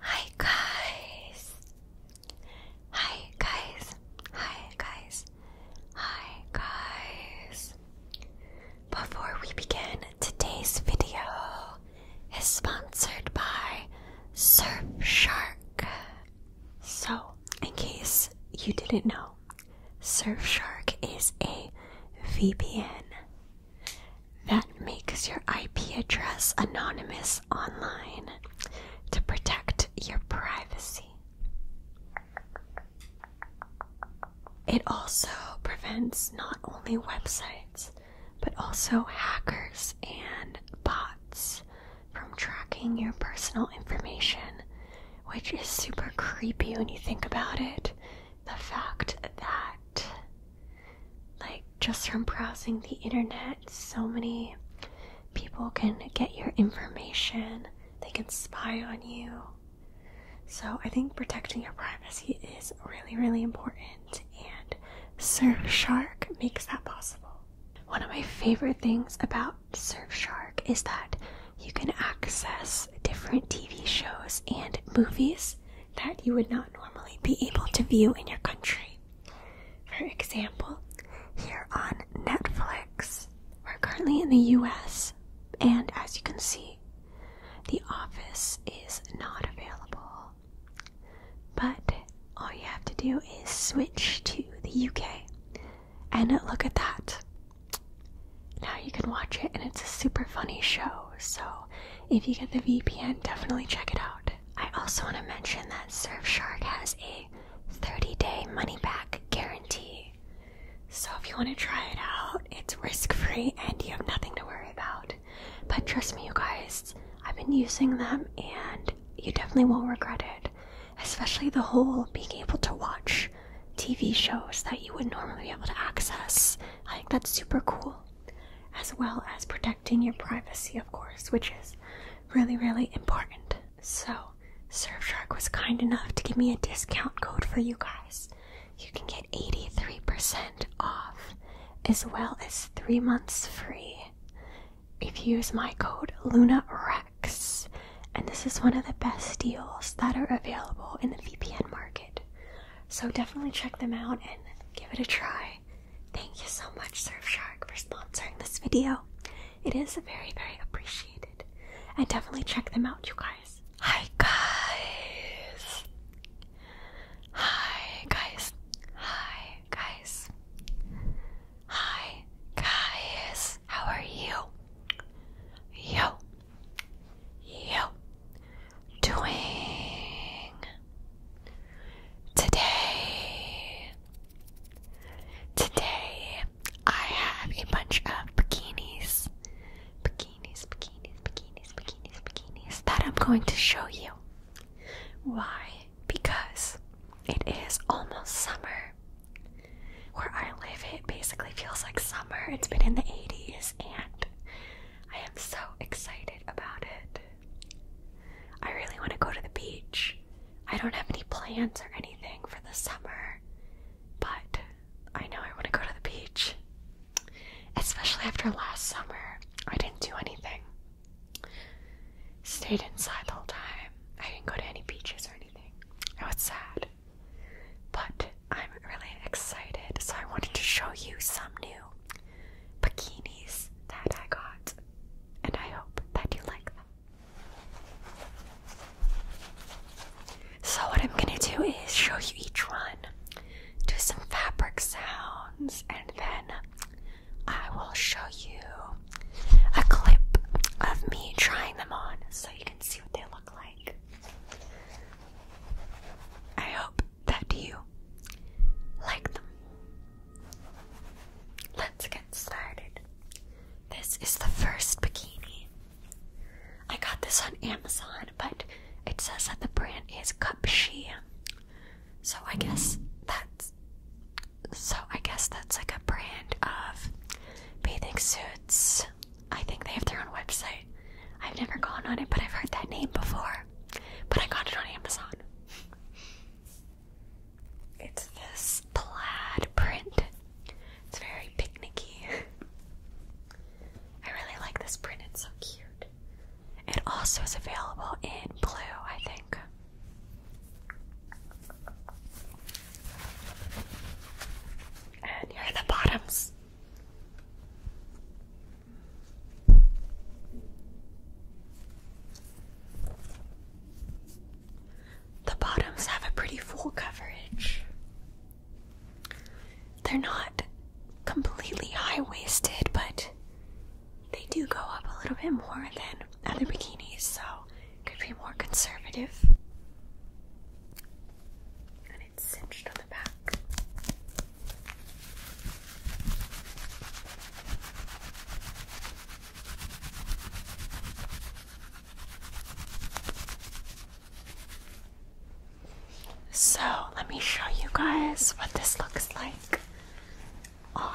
Hi guys. Hi guys. Hi guys. Hi guys. Before we begin, today's video is sponsored by Surfshark. So, in case you didn't know, Surfshark is a VPN that makes your IP address anonymous online to protect your privacy. It also prevents not only websites, but also hackers and bots from tracking your personal information, which is super creepy when you think about it. The fact that like, just from browsing the internet, so many people can get your information, they can spy on you. So, I think protecting your privacy is really, really important, and Surfshark makes that possible. One of my favorite things about Surfshark is that you can access different TV shows and movies that you would not normally be able to view in your country. For example, here on Netflix, we're currently in the US, and as you can see, The Office is not available. But all you have to do is switch to the UK and look at that. Now you can watch it, and it's a super funny show, so if you get the VPN, definitely check it out. I also want to mention that Surfshark has a 30 day money back guarantee. So if you want to try it out, it's risk free and you have nothing to worry about. But trust me, you guys, I've been using them and you definitely won't regret it. Especially the whole being able to watch TV shows that you would normally be able to access. I think that's super cool as well as protecting your privacy, of course, which is really, really important. So, Surfshark was kind enough to give me a discount code for you guys. You can get 83% off as well as three months free if you use my code LunaRex. And this is one of the best deals that are available in the VPN market. So definitely check them out and give it a try. Thank you so much, Surfshark, for sponsoring this video. It is very, very appreciated. And definitely check them out, you guys. Hi, guys. Hi, guys. Hi, guys. Hi, guys. How are you? Yo, you doing today? Today I have a bunch of bikinis, bikinis, bikinis, bikinis, bikinis, bikinis that I'm going to show you. Why? Because it is almost summer. Where I live, it basically feels like summer. It's been in the 80s, and I am so excited about it. I really want to go to the beach. I don't have any plans or anything for the summer, but I know I want to go to the beach. Especially after last summer, I didn't do anything. Stayed inside the whole time. I didn't go to any beaches or anything. I was sad. But I'm really excited, so I wanted to show you some new bikinis that I got, and I hope that you like them. So, what I'm gonna do is show you each one, do some fabric sounds, and then I will show you a clip of me trying them on so you can see what they look like. I hope that you like them. Let's get started. This is the first bikini. I got this on Amazon, but it says that the brand is Cupshe. So I guess that's so I guess that's like a brand of bathing suits I think they have their own website. I've never gone on it, but I've heard that name before. But I got it on Amazon. It's this plaid print. It's very picnicky. I really like this print, it's so cute. It also is available in blue, I think. And here are the bottoms. The bottoms have a pretty full coverage. They're not completely high waisted, but they do go up a little bit more than other bikinis, so could be more conservative cinched on the back. So, let me show you guys what this looks like on.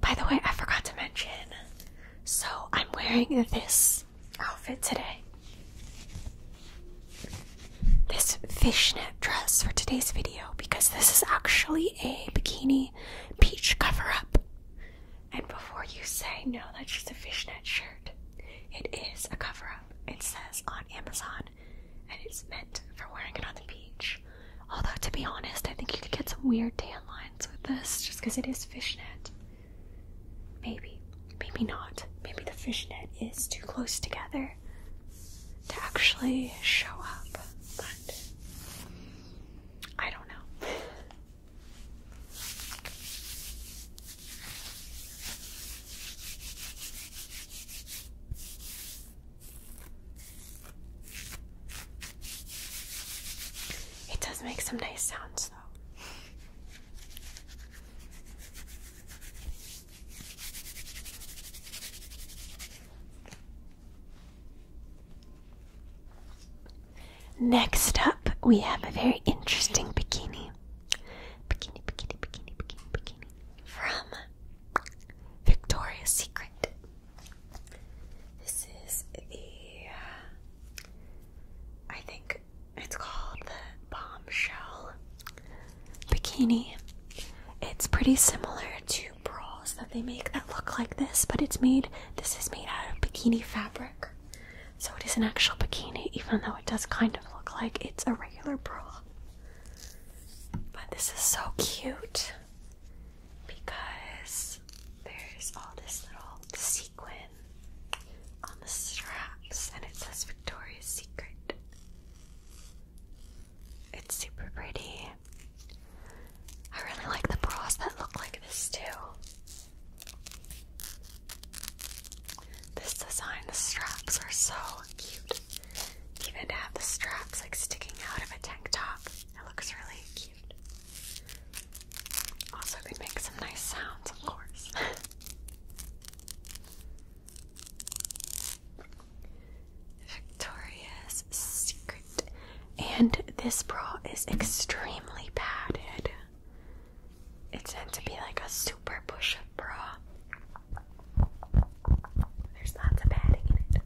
By the way, I forgot to mention, so I'm wearing this outfit today. This fishnet dress for today's video because this is actually a bikini peach cover up. And before you say, no, that's just a fishnet shirt, it is a cover up. It says on Amazon, and it's meant for wearing it on the beach. Although, to be honest, I think you could get some weird tan lines with this just because it is fishnet. Maybe, maybe not. Maybe the fishnet is too close together to actually show up. I don't know. It does make some nice sounds, though. Next up, we have a very interesting bikini. Bikini, bikini, bikini, bikini, bikini. From Victoria's Secret. This is the, uh, I think it's called the Bombshell Bikini. It's pretty similar to two that they make that look like this, but it's made, this is made out of bikini fabric. So it is an actual bikini, even though it does kind of look like it's a regular bra. But this is so cute because there's all this little sequin on the straps and it says Victoria's Secret. It's super pretty. I really like the bras that look like this too. This design, the straps are so cute. Even to have the straps like sticking out of a tank top, it looks really cute. Also, they make some nice sounds, of course. Victoria's Secret. And this bra is extremely padded. It's meant to be like a super push up bra. There's lots of padding in it.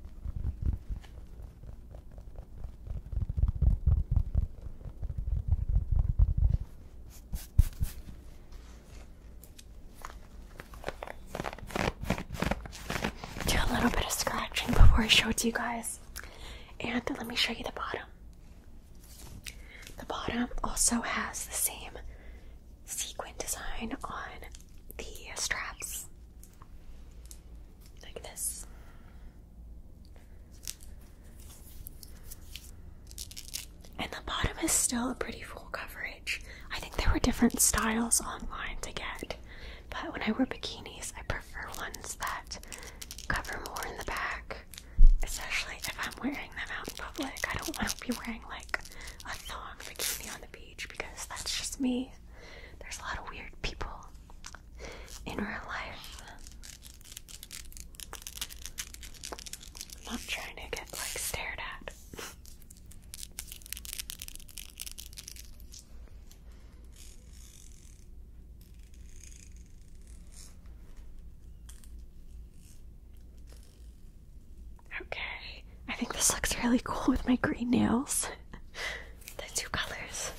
Do a little bit of scratching before I show it to you guys. And let me show you the bottom. The bottom also has the same sequin design on the straps. Like this. And the bottom is still a pretty coverage. I think there were different styles online to get, but when I wear bikinis, I prefer ones that cover more in the back, especially if I'm wearing them out in public. I don't want to be wearing like a thong bikini on the beach because that's just me. There's a lot of weird people in real life. I'm not trying to get like stared at. Okay, I think this looks really cool with my green nails. the two colors.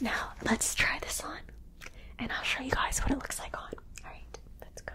Now, let's try this on and I'll show you guys what it looks like on. Alright, let's go.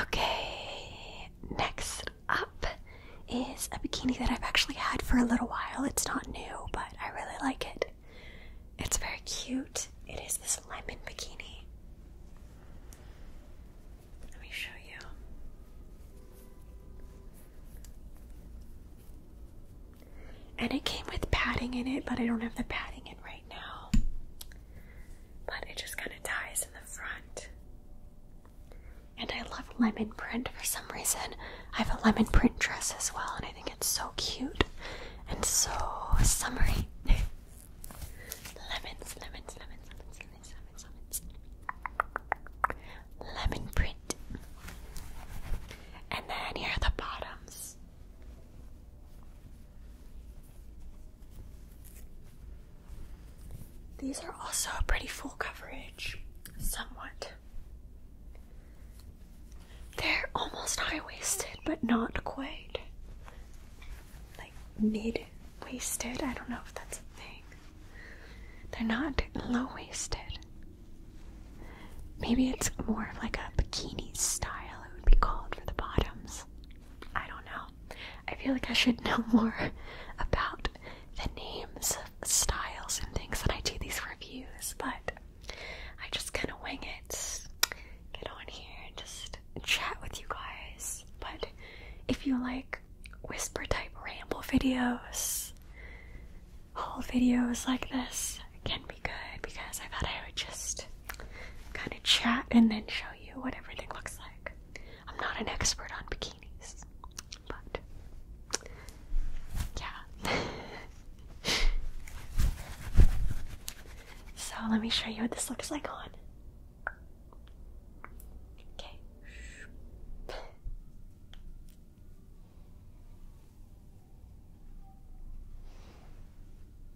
Okay, next up is a bikini that I've actually had for a little while. It's not new, but I really like it. It's very cute. It is this lemon bikini. Let me show you. And it came with padding in it, but I don't have the padding in red now, but it just kind of ties in the front. And I love lemon print for some reason. I have a lemon print dress as well, and I think it's so cute and so summery. lemons, lemons, lemons, lemons, lemons, lemons, lemons. Lemon print. And then here are the bottoms. These are also a pretty full coverage, somewhat. They're almost high waisted, but not quite. Like mid waisted, I don't know if that's a thing. They're not low waisted. Maybe it's more of like a bikini style, it would be called for the bottoms. I don't know. I feel like I should know more about the names of styles and things when I do these reviews, but I just kind of wing it. Get on here and just chat with you guys. But if you like whisper type ramble videos, whole videos like this can be good because I thought I would just kind of chat and then show you what everything looks like. I'm not an expert on bikinis, so let me show you what this looks like on.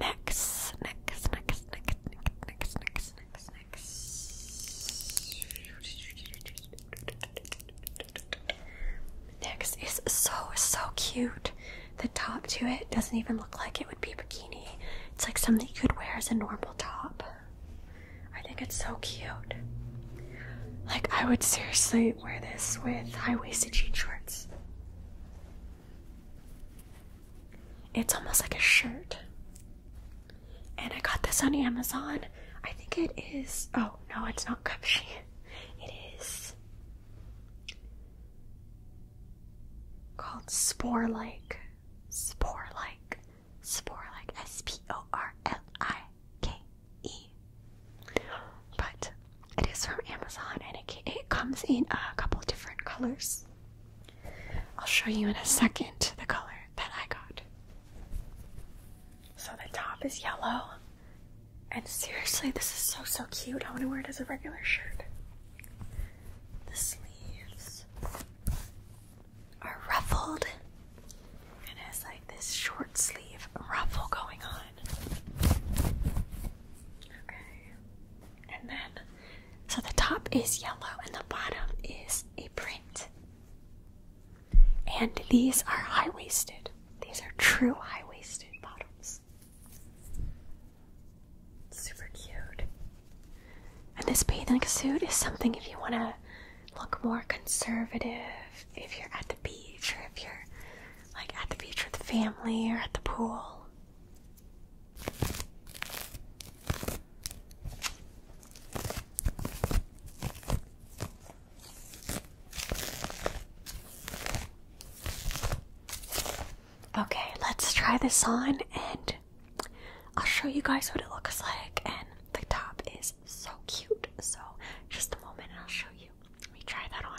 Next, next, next, next, next, next, next, next. Next is so so cute. The top to it doesn't even look like it would be bikini. It's like something you could wear as a normal top. I think it's so cute. Like I would seriously wear this with high-waisted jean shorts. It's almost like a shirt. And I got this on Amazon. I think it is. Oh, no, it's not Cupshe. It is called Spore Like. Spore Like. Spore Like. S P O R L I K E. But it is from Amazon and it, comes in a couple different colors. I'll show you in a second the color that I got. So the top is yellow. And seriously, this is so so cute. I want to wear it as a regular shirt. The sleeves are ruffled. And has like this short sleeve ruffle going on. Okay. And then, so the top is yellow and the bottom is a print. And these are high waisted. These are true high waisted bottoms. Super cute. And this bathing suit is something if you want to look more conservative, if you're at the beach or if you're like at the beach with family or at the pool. Okay, let's try this on and I'll show you guys what it looks like. And the top is so cute. So, just a moment and I'll show you. Let me try that on.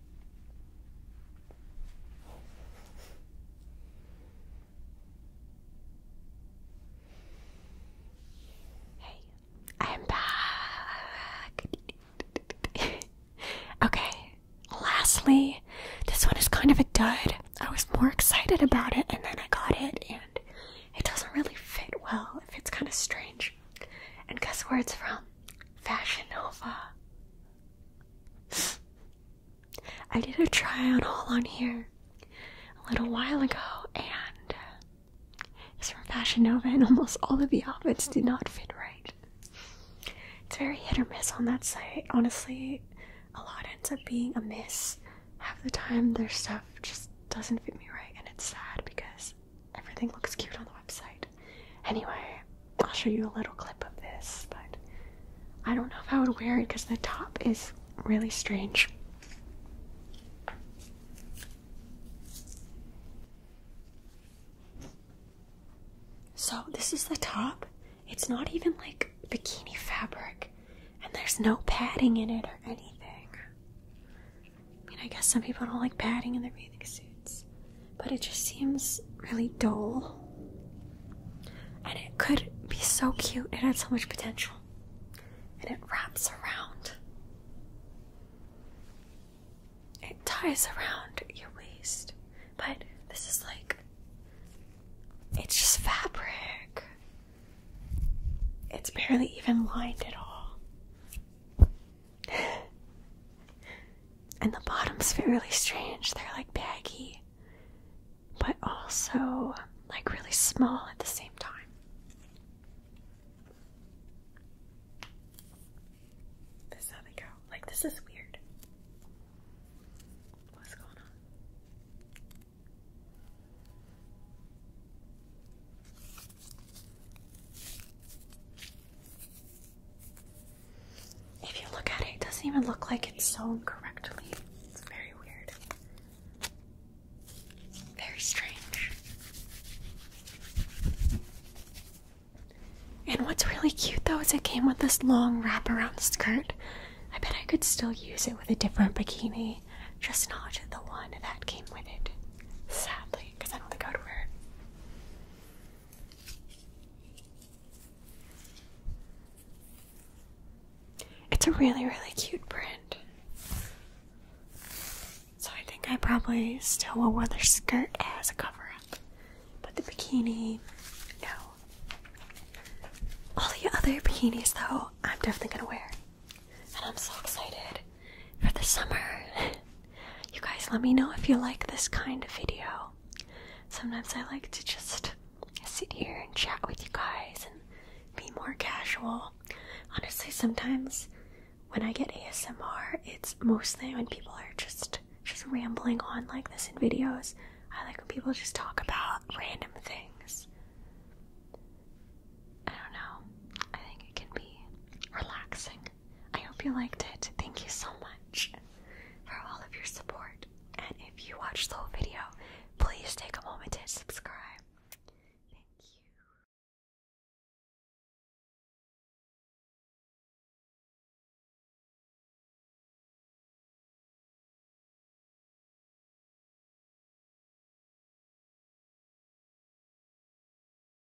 Hey, I'm back. okay, lastly, this one is kind of a dud. I was more excited about it and then I got it, and it doesn't really fit well. It fits kind of strange. And guess where it's from? Fashion Nova. I did a try on haul on here a little while ago, and it's from Fashion Nova, and almost all of the outfits did not fit right. It's very hit or miss on that site. Honestly, a lot ends up being a miss. Half the time, their stuff just doesn't fit me right, and it's sad because everything looks cute on the website. Anyway, I'll show you a little clip of this, but I don't know if I would wear it because the top is really strange. So, this is the top. It's not even like bikini fabric, and there's no padding in it or anything. I mean, I guess some people don't like padding in their bathing suit but it just seems really dull. And it could be so cute, it has so much potential. And it wraps around, it ties around your waist, but this is like it's just fabric. It's barely even lined at all and the bottoms fit really strange. They're like baggy, but also like really small at the same time. This they go. Like, this is weird. What's going on? If you look at it, it doesn't even look like it's sewn correctly. It's very weird. Very strange. And what's really cute though is it came with this long wrap around skirt. I bet I could still use it with a different bikini, just not the one that came with it. Sadly, because I don't think I would wear it. It's a really, really cute print. So I think I probably still will wear this skirt as a cover up. But the bikini, no. All the other bikinis, though, I'm definitely gonna wear. And I'm so excited for the summer. you guys, let me know if you like this kind of video. Sometimes I like to just sit here and chat with you guys and be more casual. Honestly, sometimes when I get ASMR, it's mostly when people are just just rambling on like this in videos. I like when people just talk about random things. I don't know. I think it can be relaxing. I hope you liked it. Thank you so much for all of your support. And if you watched the whole video, please take a moment to subscribe. Thank you.